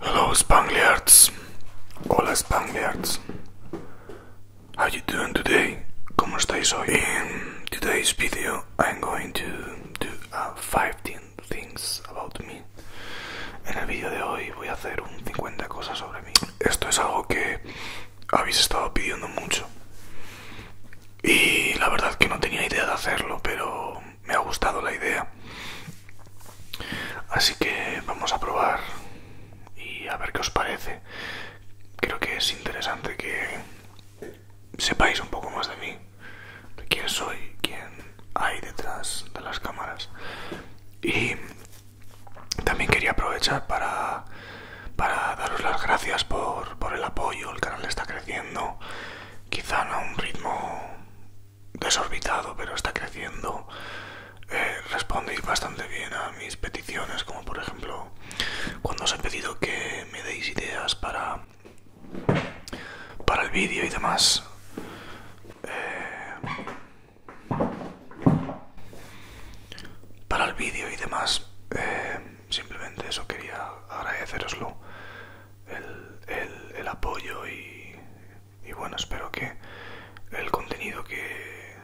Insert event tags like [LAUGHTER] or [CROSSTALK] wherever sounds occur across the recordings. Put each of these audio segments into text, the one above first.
Hello Spangliards! Hola Spangliards! How you doing today? Como estáis hoy? In today's video I'm going to do 15 uh, things about me. En el vídeo de hoy voy a hacer un 50 cosas sobre mí. Esto es algo que habéis estado pidiendo mucho. Y la verdad que no tenía idea de hacerlo, pero me ha gustado la idea. Así que vamos a probar y a ver qué os parece. Creo que es interesante que sepáis un poco más de mí, de quién soy, quién hay detrás de las cámaras. Y también quería aprovechar para, para daros las gracias por, el apoyo, el canal está creciendo, quizá no a un ritmo desorbitado, pero está creciendo. Eh, respondéis bastante bien a mis peticiones, como por ejemplo cuando os he pedido que me, deis ideas para, para el vídeo y demás. Eh, para el vídeo y demás. Eh, simplemente eso quería agradeceroslo. El, el, apoyo y bueno, espero que el contenido que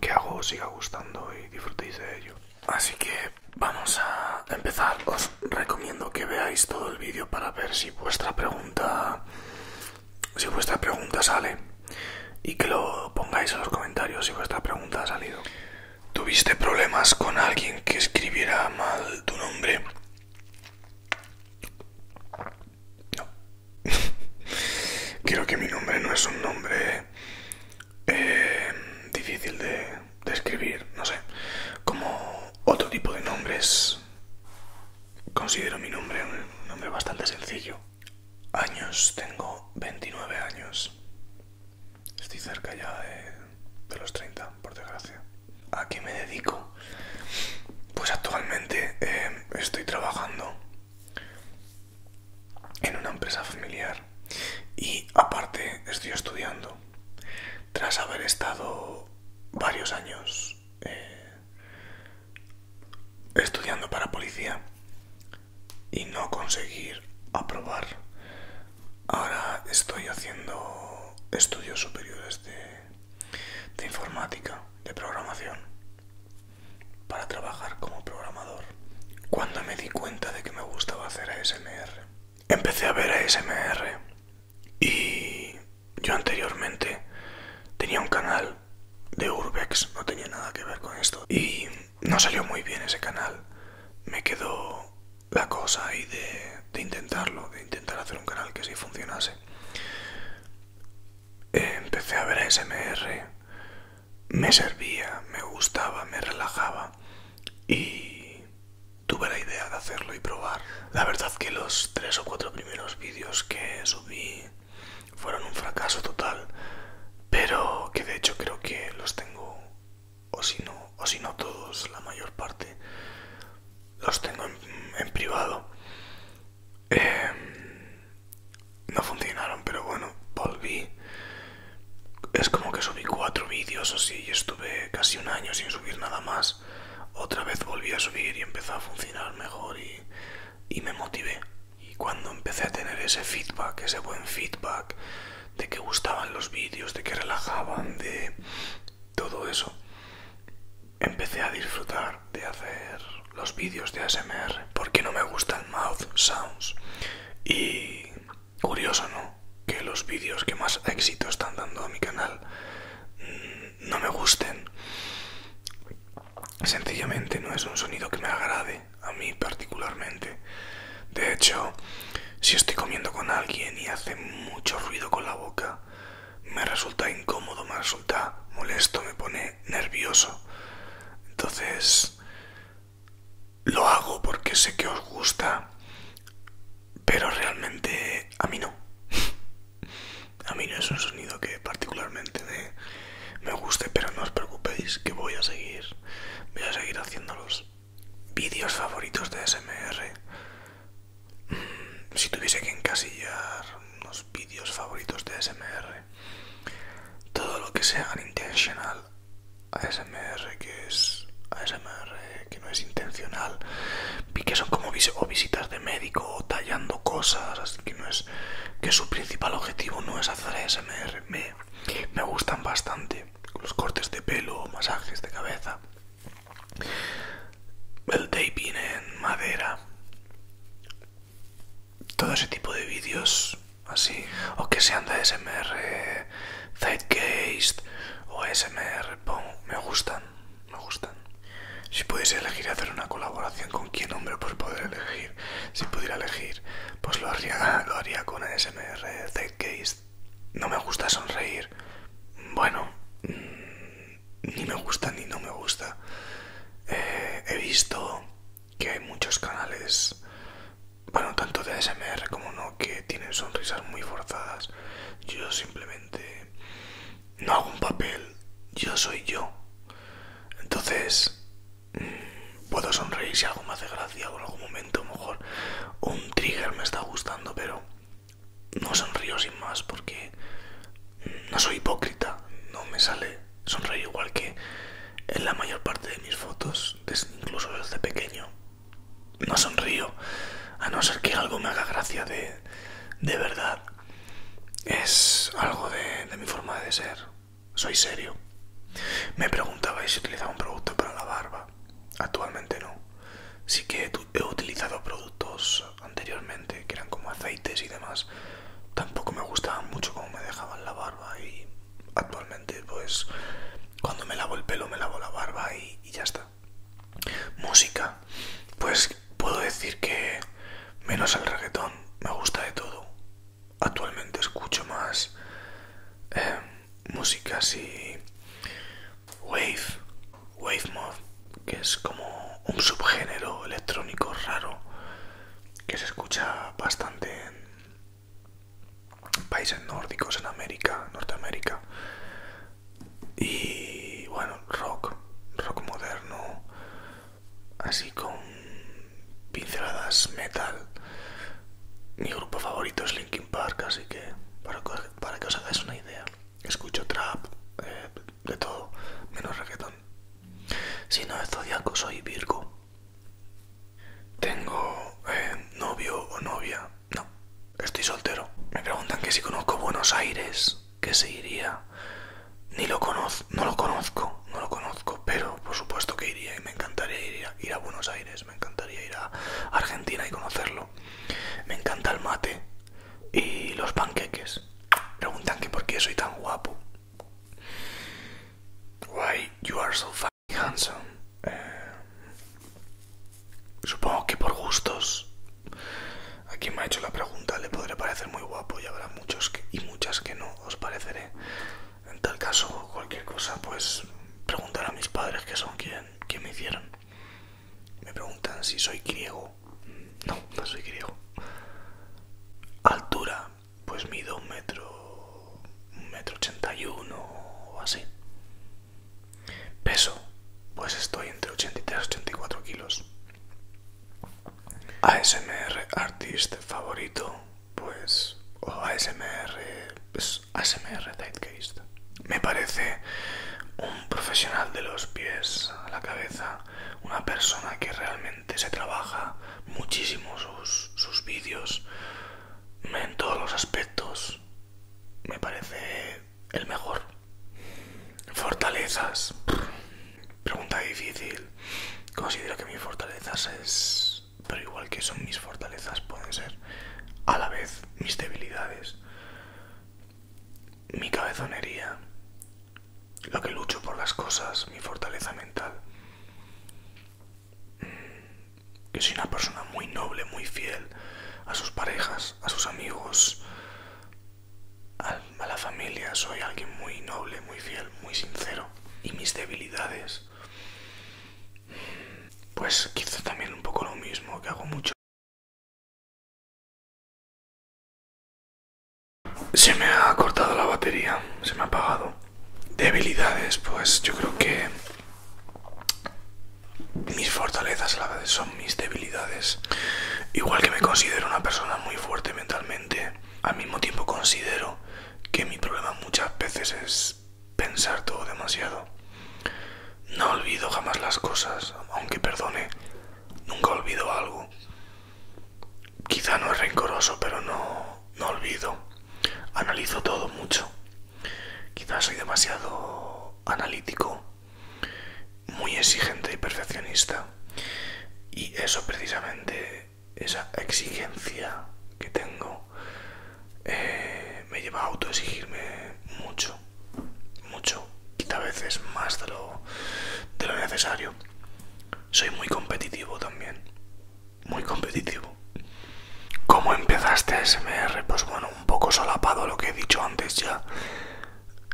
que hago os siga gustando y disfrutéis de ello. Así que vamos a empezar. Os recomiendo que veáis todo el vídeo para ver si vuestra pregunta si vuestra pregunta sale y que lo pongáis en los comentarios si vuestra pregunta ha salido. ¿Tuviste problemas con alguien que escribiera mal tu nombre? No. [LAUGHS] que mi nombre no es un nombre eh, difícil de, describir, no sé. Como otro tipo de nombres, considero mi nombre un nombre bastante sencillo. Años, tengo 29 años. Estoy cerca ya de, los 30, por desgracia. ¿A qué me dedico? Pues actualmente eh, estoy trabajando en una empresa familiar y aparte estoy estudiando. Tras haber estado varios años eh, estudiando para policía y no conseguir aprobar, ahora estoy haciendo estudios superiores de, de informática, de programación para trabajar como programador. Cuando me di cuenta de que me gustaba hacer ASMR, empecé a ver ASMR y yo anteriormente tenía un canal de Urbex, no tenía nada que ver con esto y no salió muy bien ese canal. Me quedó la cosa ahí de, intentarlo, de intentar hacer un canal que sí funcionase. Empecé a ver ASMR me servía, me gustaba, me relajaba y tuve la idea de hacerlo y probar. La verdad que los tres o cuatro primeros vídeos que subí fueron un fracaso total, pero que de hecho creo que los tengo, o si no, o si no todos, la mayor parte, los tengo en, privado. Em, no funcionaron, pero bueno, volví. Es como que subí cuatro vídeos o sí y estuve casi un año sin subir nada más. Otra vez volví a subir y empezó a funcionar mejor y, y me motivé. Y cuando empecé a tener ese feedback, ese buen feedback, de que gustaban los vídeos, de que relajaban, de todo eso, empecé a disfrutar de hacer los vídeos de ASMR porque no me gustan mouth sounds y curioso, ¿no? Que los vídeos que más éxito están dando a mi canal mm, no me gusten. Sencillamente no es un sonido que me agrade a mí particularmente. De hecho, si estoy comiendo con alguien y hace mucho ruido con la boca, me resulta incómodo, me resulta molesto, me pone nervioso. Entonces, lo hago porque sé que os gusta, pero realmente a mí no. [LAUGHS] a mí no es un sonido que particularmente me, guste, pero no os preocupéis que voy a seguir, voy a seguir haciendo los vídeos favoritos de SMR. Mm, si tuviese que encasillar los vídeos favoritos de SMR, todo lo que sea intencional ASMR que es ASMR que no es intencional y que son como o visitas de médico o tallando cosas que no es que su principal objetivo no es hacer ASMR me, me gustan bastante los cortes de pelo o masajes de cabeza el taping en madera todo ese tipo de vídeos así, o que sean de SMR, Zeitgeist o SMR, me gustan, me gustan. Si pudiese elegir hacer una colaboración con quién hombre, pues poder elegir. Si pudiera elegir, pues lo haría, [LAUGHS] lo haría con SMR, Zeitgeist. No me gusta sonreír. Bueno, mm, ni me gusta ni no me gusta. Eh, he visto que hay muchos canales, bueno, tanto de ASMR como no, que tienen sonrisas muy forzadas. Yo simplemente no hago un papel, yo soy yo. Entonces, mm, puedo sonreír si algo me hace gracia o en algún momento, mejor un trigger me está gustando, pero no sonrío sin más porque mm, no soy hipócrita, no me sale Sonrío igual que en la mayor parte de mis fotos, incluso desde pequeño. No sonrío, a no ser que algo me haga gracia de, de verdad. Es algo de, de mi forma de ser. Soy serio. Me preguntabais si utilizaba un producto para la barba. Actualmente no. Sí que he utilizado productos anteriormente, que eran como aceites y demás, tampoco me gustaba mucho como me dejaban la barba y actualmente pues cuando me lavo el pelo me lavo la barba y, ya está. Música, pues puedo decir que menos el reggaetón me gusta de todo. Actualmente escucho más eh, música así wave, wave mode que es como un subgénero electrónico raro que se escucha bastante en países nórdicos, en América, Norteamérica. Y bueno, rock, rock moderno, así con pinceladas metal. Mi grupo favorito es Linkin Park, así que para, que os hagáis una idea, escucho trap, eh, de todo, menos reggaeton. Si no es zodiaco, soy Virgo. Tengo eh, novio o novia. No, estoy soltero. Me preguntan que si conozco Buenos Aires, que se iría. Ni lo conozco, no lo conozco, no lo conozco, pero por supuesto que iría y me encantaría ir ir a Buenos Aires, me encantaría ir a Argentina y conocerlo. Me encanta el mate y los panqueques. Preguntan que por qué soy tan guapo. Why you are so fucking handsome. Eh, supongo que por gustos. A quien me ha hecho la pregunta le podré parecer muy guapo y habrá muchos y muchas que no os pareceré. En tal caso, cualquier cosa, pues preguntar a mis padres que son quien, me hicieron. Me preguntan si soy griego. No, no soy griego. Altura, pues mido un metro, un metro ochenta y uno o así. Peso, pues estoy entre 83 y 84 kilos. ASMR artist favorito, pues, ASMR, pues ASMR Me parece un profesional de los pies a la cabeza, una persona que realmente se trabaja muchísimo sus, sus vídeos en todos los aspectos. Me parece el mejor. Fortalezas. Pregunta difícil. Considero que mis fortalezas es... Pero igual que son mis fortalezas, pueden ser a la vez mis debilidades. Mi cabezonería lo que lucho por las cosas, mi fortaleza mental. Mm, que soy una persona muy noble, muy fiel a sus parejas, a sus amigos, a, la familia. Soy alguien muy noble, muy fiel, muy sincero. Y mis debilidades, pues quizá también un poco lo mismo, que hago mucho. Se me ha cortado la batería, se me ha apagado. Debilidades, pues yo creo que mis fortalezas a la verdad son mis debilidades. Igual que me considero una persona muy fuerte mentalmente, al mismo tiempo considero que mi problema muchas veces es pensar todo demasiado. No olvido jamás las cosas, aunque perdone, nunca olvido algo quizá no es rencoroso, pero no, olvido. Analizo todo mucho. quizá soy demasiado analítico, muy exigente y perfeccionista. Y eso precisamente, esa exigencia que tengo, eh, me lleva a autoexigirme mucho, mucho, quizá a veces más de lo necesario. Soy muy competitivo también. Muy competitivo. ¿Cómo empezaste SMR? Pues bueno, un poco solapado lo que he dicho antes ya.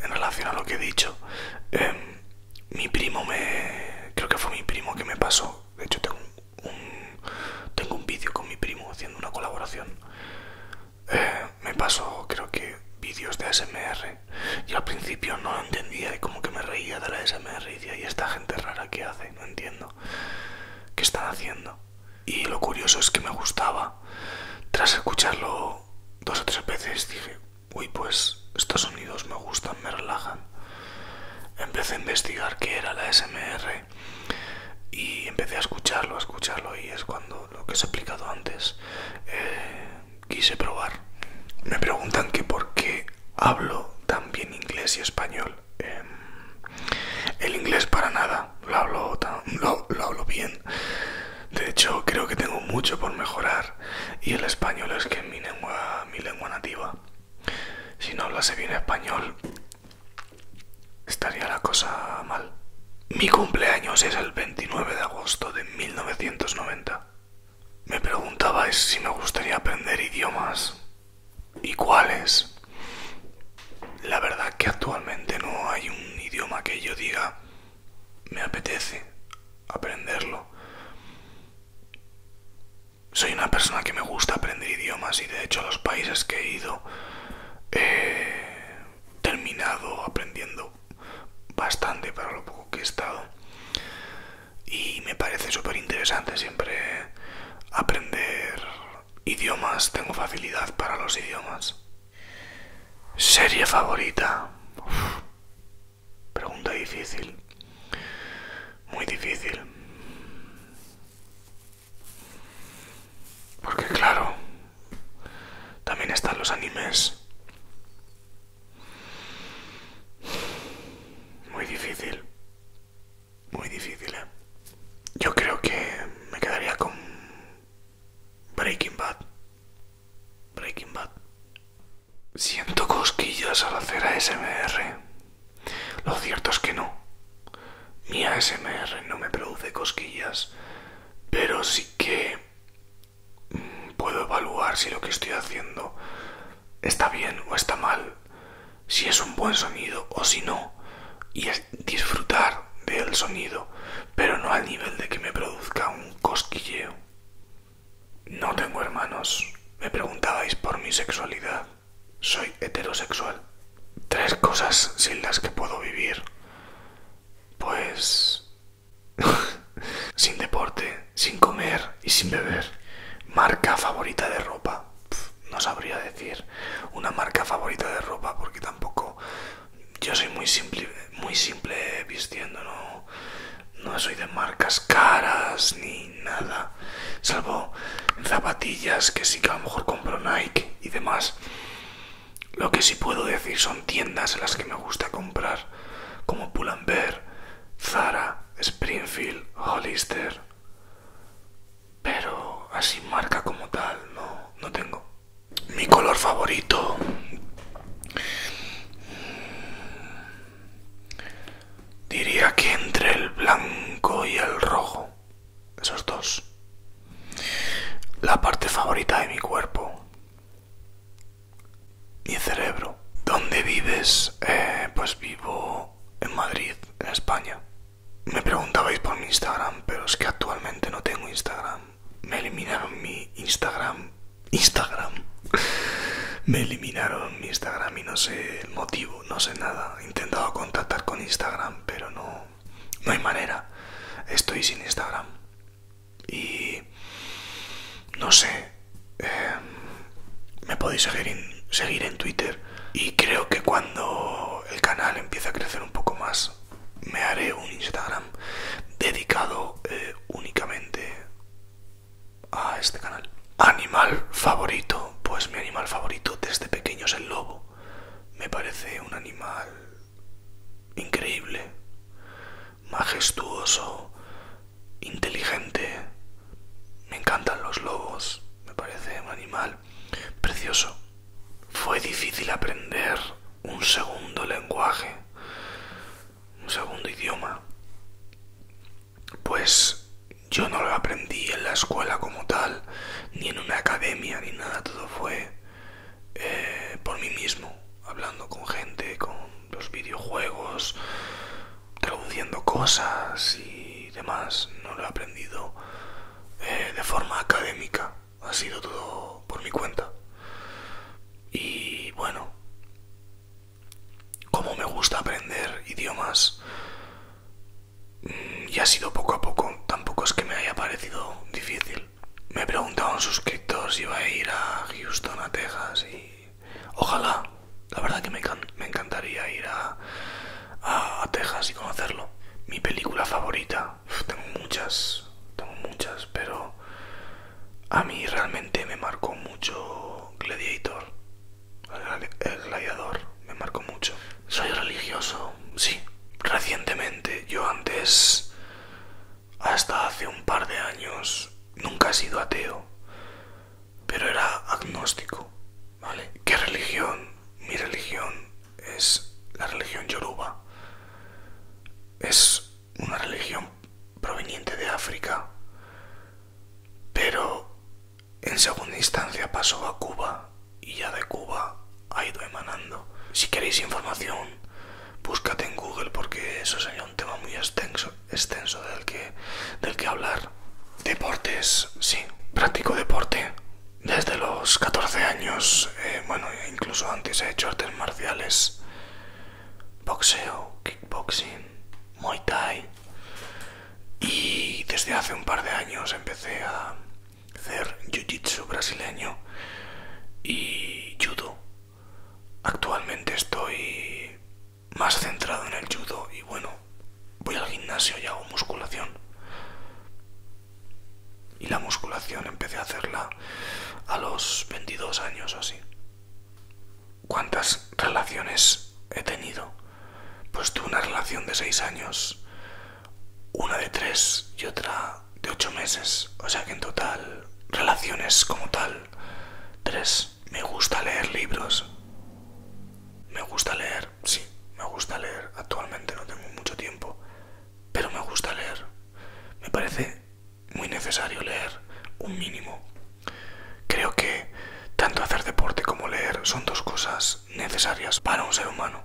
En relación a lo que he dicho. Em, mi primo me... Creo que fue mi primo que me pasó. De hecho, tengo un, tengo un vídeo con mi primo haciendo una colaboración. Eh, me pasó, creo que, vídeos de SMR yo al principio no entendía y como que me reía de la SMR y decía, ¿y esta gente rara que hace? No entiendo. ¿Qué están haciendo? Y lo curioso es que me gustaba. Tras escucharlo dos o tres veces dije, uy, pues estos sonidos me gustan, me relajan. Empecé a investigar qué era la SMR y empecé a escucharlo, a escucharlo y es cuando lo que os he explicado antes, eh, quise probar. Me preguntan que por qué hablo tan bien inglés y español. Em, el inglés para nada, lo hablo, bien. De hecho, creo que tengo mucho por mejorar y el español es que mi lengua, mi lengua nativa. Si no hablase bien español, estaría la cosa mal. Mi cumpleaños es el 29 de agosto de 1990 me preguntabais si me gustaría aprender idiomas y cuáles. La verdad que actualmente no hay un idioma que yo diga me apetece aprenderlo. Soy una persona que me gusta aprender idiomas y de hecho los países que he ido he eh, terminado aprendiendo bastante para lo poco que he estado y me parece súper interesante siempre aprender idiomas, tengo facilidad para los idiomas. Serie favorita. Pregunta difícil. Muy difícil. Porque claro, también están los animes. Muy difícil. Muy difícil, ¿eh? Yo creo que me quedaría con Breaking Bad. Breaking Bad. Siento cosquillas al hacer ASMR. Lo cierto es que no. Mi ASMR no me produce cosquillas, pero sí que puedo evaluar si lo que estoy haciendo está bien o está mal, si es un buen sonido o si no, y disfrutar del sonido, pero no al nivel de que me produzca un cosquilleo. No tengo hermanos. Me preguntabais por mi sexualidad. Soy heterosexual. Tres cosas sin las que puedo vivir. Pues [LAUGHS] sin deporte, sin comer y sin beber. Marca favorita de ropa. no sabría decir una marca favorita de ropa porque tampoco yo soy muy simple, muy simple vistiendo, no, no soy de marcas caras ni nada, salvo zapatillas que sí que a lo mejor compro Nike y demás. Lo que sí puedo decir son tiendas en las que me gusta comprar como Pull&Bear, Zara, Springfield, Hollister. Pero así marca como tal no, no tengo. Mi color favorito diría que entre el blanco y el rojo, esos dos. La parte favorita de mi cuerpo mi cerebro. ¿Dónde vives? Eh, pues vivo en Madrid, en España. Me preguntabais por mi Instagram, pero es que actualmente no tengo Instagram. Me eliminaron mi Instagram. Instagram. [LAUGHS] Me eliminaron mi Instagram y no sé el motivo, no sé nada. He intentado contactar con Instagram, pero no, no hay manera. Estoy sin Instagram. Y no sé, em, me podéis seguir en, Twitter y creo que cuando el canal empiece a crecer un poco más me haré un Instagram dedicado eh, únicamente a este canal. Animal favorito, pues mi animal favorito desde pequeño es el lobo. Me parece un animal increíble majestuoso, inteligente. Me encantan los lobos, me parece un animal precioso. Fue difícil aprender un segundo lenguaje, un segundo idioma. Pues yo no lo aprendí en la escuela como tal, ni en una academia, ni nada, todo fue eh, por mí mismo, hablando con gente, con los videojuegos, traduciendo cosas y demás. No lo he aprendido eh, de forma académica, ha sido todo por mi cuenta. Y bueno, como me gusta aprender idiomas, mm, y ha sido poco a poco, tampoco es que me haya parecido difícil. Me preguntaban un si iba a ir a Houston, a Texas y... Ojalá, la verdad que me, encantaría ir a, a, Texas y conocerlo. Mi película favorita, tengo muchas, tengo muchas, pero a mí realmente me marcó mucho Gladiator, el gladiador, me marcó mucho. Soy religioso, sí, recientemente, yo antes hasta hace un par de años nunca ha sido ateo, pero era agnóstico, ¿vale? ¿Qué religión? Mi religión es la religión yoruba. Es una religión proveniente de África, pero en segunda instancia pasó a Cuba y ya de Cuba ha ido emanando. Si queréis información búscate en Google porque eso sería un tema muy extenso, del, que, hablar. Deportes, sí, practico deporte. Desde los 14 años, eh, bueno, incluso antes he hecho artes marciales, boxeo, kickboxing, muay thai. Y desde hace un par de años empecé a hacer jiu-jitsu brasileño y judo Actualmente estoy más centrado en el judo y bueno, voy al gimnasio y hago musculación. Y la musculación empecé a hacerla a los 22 años o así. ¿Cuántas relaciones he tenido? Pues tuve una relación de 6 años, una de 3 y otra de ocho meses. O sea que en total, relaciones como tal. 3. Me gusta leer libros. Me gusta leer, sí, me gusta leer. Actualmente no tengo mucho tiempo. Pero me gusta leer. Me parece muy necesario leer un mínimo. Creo que tanto hacer deporte como leer son dos cosas necesarias para un ser humano.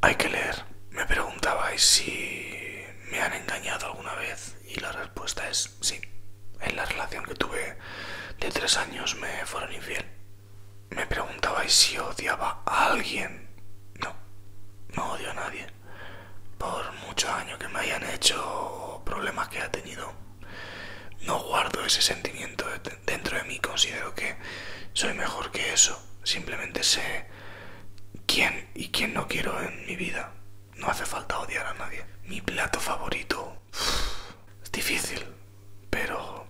Hay que leer. Me preguntabais si me han engañado alguna vez y la respuesta es sí. En la relación que tuve de tres años me fueron infiel. Me preguntabais si odiaba a alguien. No, no odio a nadie. Por mucho años que me hayan hecho problemas que ha tenido, no guardo ese sentimiento dentro de mí. Considero que soy mejor que eso Simplemente sé quién y quién no quiero en mi vida. No hace falta odiar a nadie. Mi plato favorito. [SIGHS] Es difícil, pero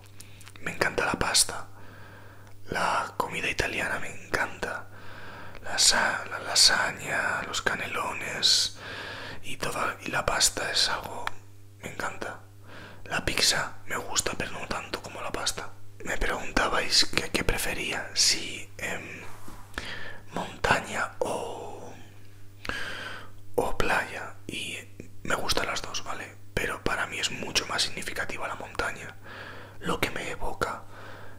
me encanta la pasta. La comida italiana me encanta. La, lasaña, los canelones y toda y la pasta es algo me encanta. La pizza me gusta, pero no tanto como la pasta me preguntabais qué prefería, si em, montaña o, o playa. Y me gustan las dos, ¿vale? Pero para mí es mucho más significativa la montaña. Lo que me evoca,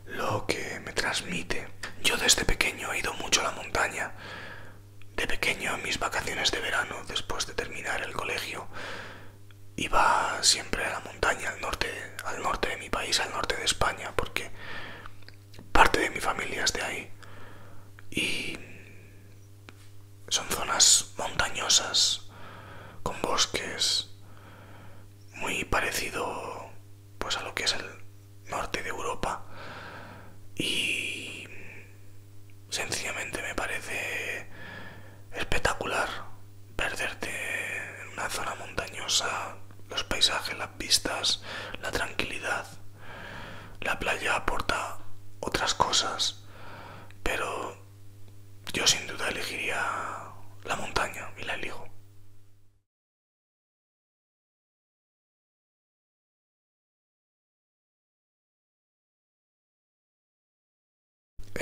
lo que me transmite. Yo desde pequeño he ido mucho a la montaña. De pequeño, a mis vacaciones de verano, después de terminar el colegio, iba siempre a la montaña al norte, al norte de mi país, al norte de España, porque parte de mi familia es de ahí. Y son zonas montañosas, con bosques, muy parecido pues a lo que es el norte de Europa. Y sencillamente me parece espectacular perderte en una zona montañosa, los paisajes, las vistas, la tranquilidad. La playa aporta otras cosas, pero yo sin duda elegiría la montaña y la elijo.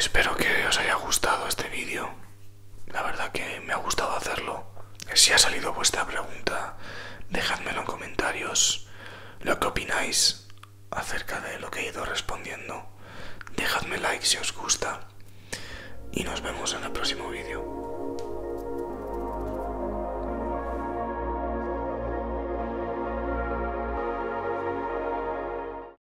Espero que os haya gustado este vídeo. La verdad que me ha gustado hacerlo. Si ha salido vuestra pregunta, dejadme en comentarios. Lo que opináis acerca de lo que he ido respondiendo. Dejadme like si os gusta. Y nos vemos en el próximo vídeo.